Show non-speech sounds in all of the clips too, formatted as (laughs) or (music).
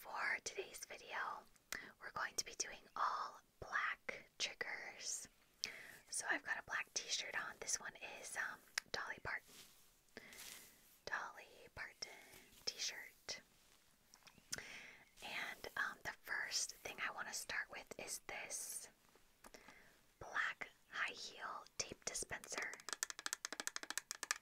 For today's video, we're going to be doing all black triggers. So I've got a black t-shirt on. This one is um, Dolly Parton. Dolly Parton t-shirt. And um, the first thing I want to start with is this black high heel tape dispenser.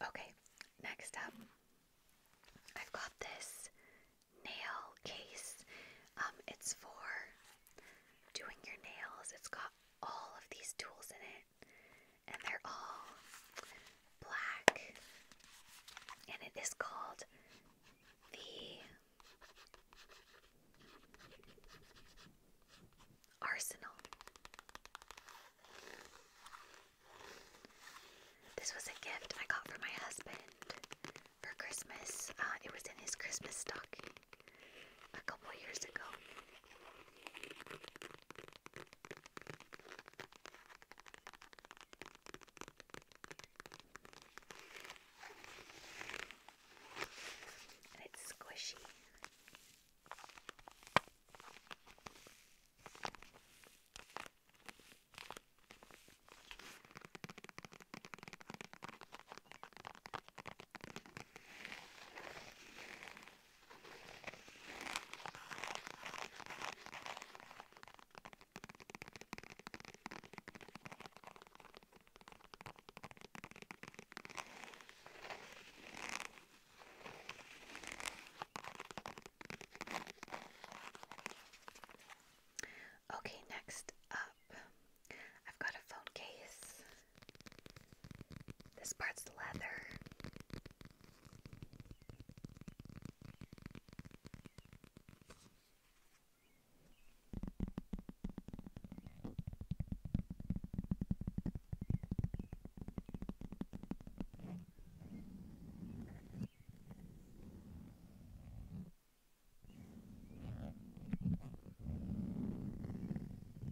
Okay, next up, I've got this nail case. Um, it's for doing your nails. It's got all of these tools in it. And they're all black. And it is called the Arsenal. This was a gift I got for my husband for Christmas. Uh, it was in his Christmas stocking a couple years ago. And it's squishy. Okay, next up, I've got a phone case. This part's leather.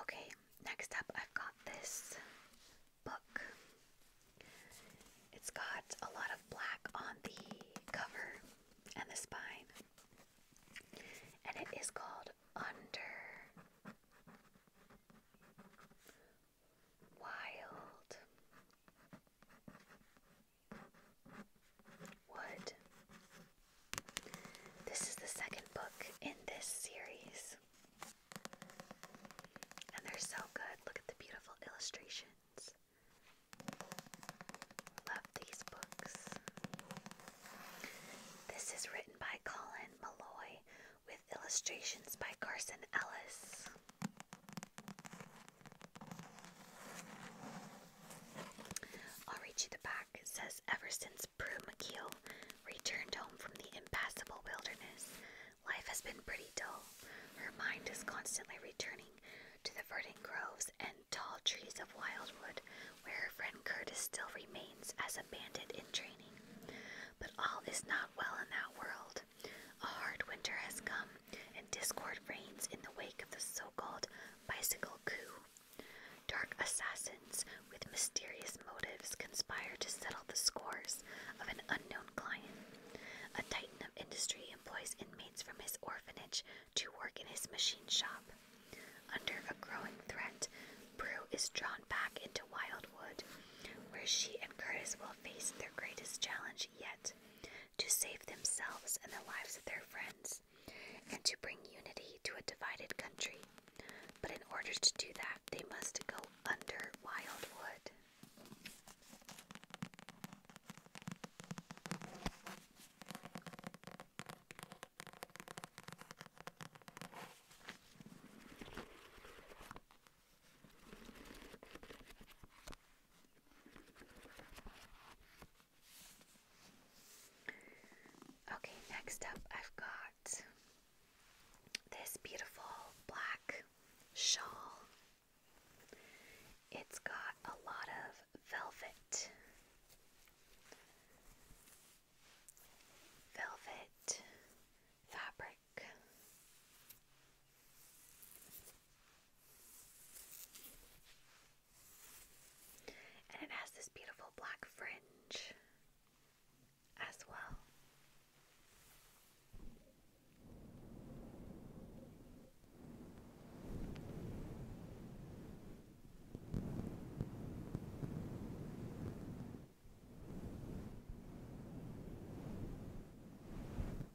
Okay, next up, I've got this book. It's got a lot of black on the cover and the spine, and it is called Under Wild Wood. This is the second book in this series. And they're so good. Look at the beautiful illustrations. Love these books. This is written by Colin Malloy with illustrations by Carson Ellis. I'll read you the back. It says, Ever since Prue McKeel returned home from the impassable wilderness, life has been pretty dull. Her mind is constantly returning to the verdant groves and tall trees of Wildwood, where her friend Curtis still remains as a bandit in training. But all is not well in that world. A hard winter has come, and discord reigns in the wake of the so called bicycle coup. Dark assassins with mysterious motives conspire to settle the scores of an unknown client. A titan of industry employs inmates from his orphanage to work in his machine shop. Under a growing threat, Brew is drawn back into Wildwood, where she and Curtis will face their greatest challenge yet to save themselves and the lives of their friends, and to bring unity to a divided country. But in order to do that, they must go under Wildwood. Okay, next up, I've got this beautiful black shawl. It's got a lot of velvet. Velvet fabric. And it has this beautiful black fringe as well.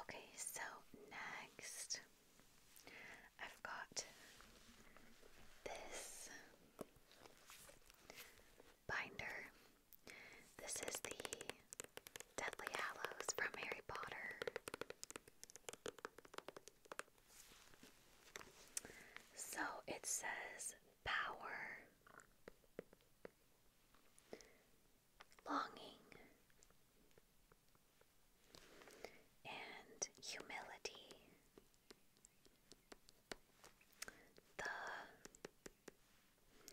Okay, so next I've got this binder. This is the Deathly Hallows from Harry Potter. So it says power, longing, and humility.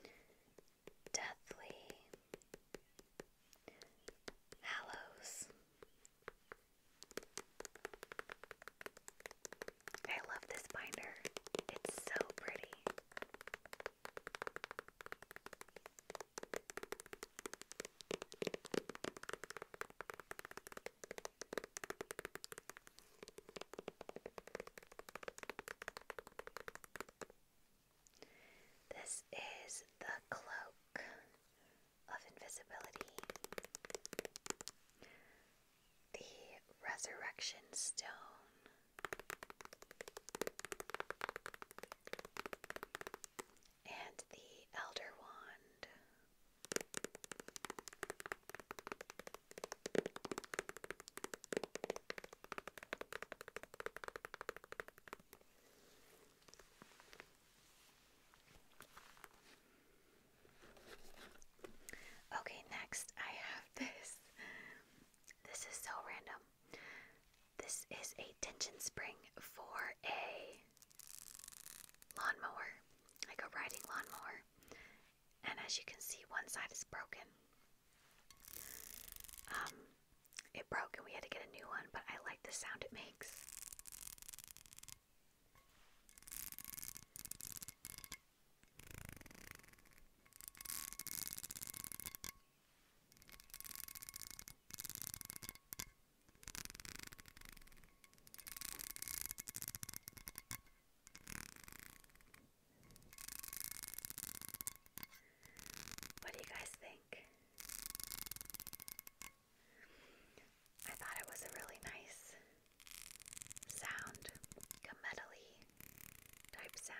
The Deathly Hallows. I love this binder. It's so pretty. This is the cloak of invisibility. The resurrection stone and the Elder Wand. Okay, next I have (laughs) this. This is so random. This is a tension spring for a lawnmower, like a riding lawnmower. And as you can see, one side is broken. Um, it broke and we had to get a new one, but I like the sound it makes. What do you guys think? I thought it was a really nice sound, a metally type sound.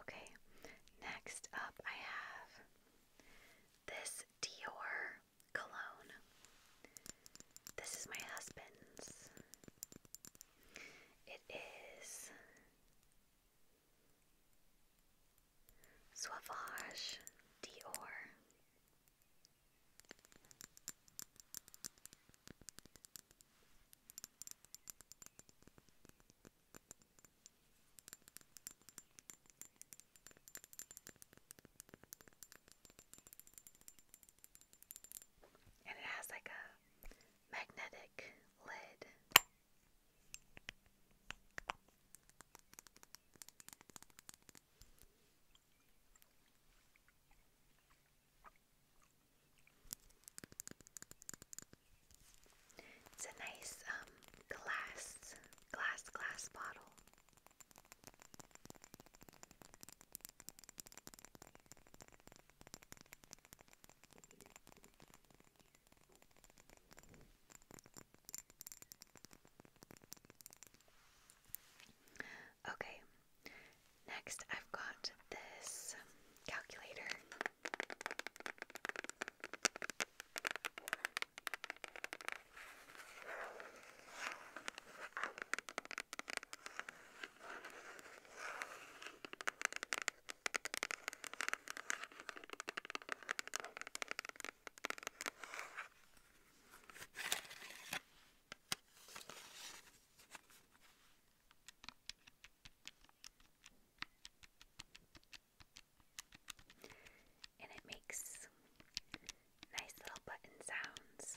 Okay, next up I have this Dior cologne. This is my husband's. It is Suavage Dior. And it has like a magnetic lid. It's a nice um, glass, glass, glass bottle. Okay, next I've got this calculator. And it makes nice little button sounds.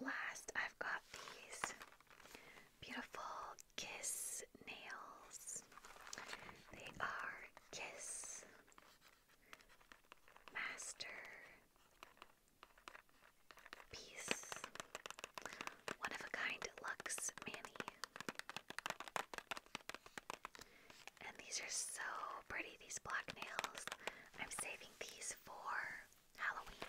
last, I've got these beautiful kiss nails. They are Kiss Master Piece. One of a kind Lux Manny. And these are so pretty, these black nails. I'm saving these for Halloween.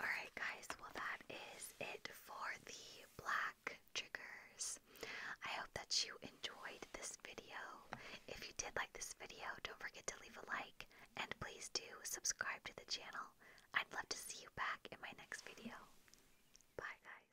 Alright, guys, well, that is it for the black triggers. I hope that you enjoyed this video. If you did like this video, don't forget to leave a like and please do subscribe to the channel. I'd love to see you back in my next video. Bye, guys.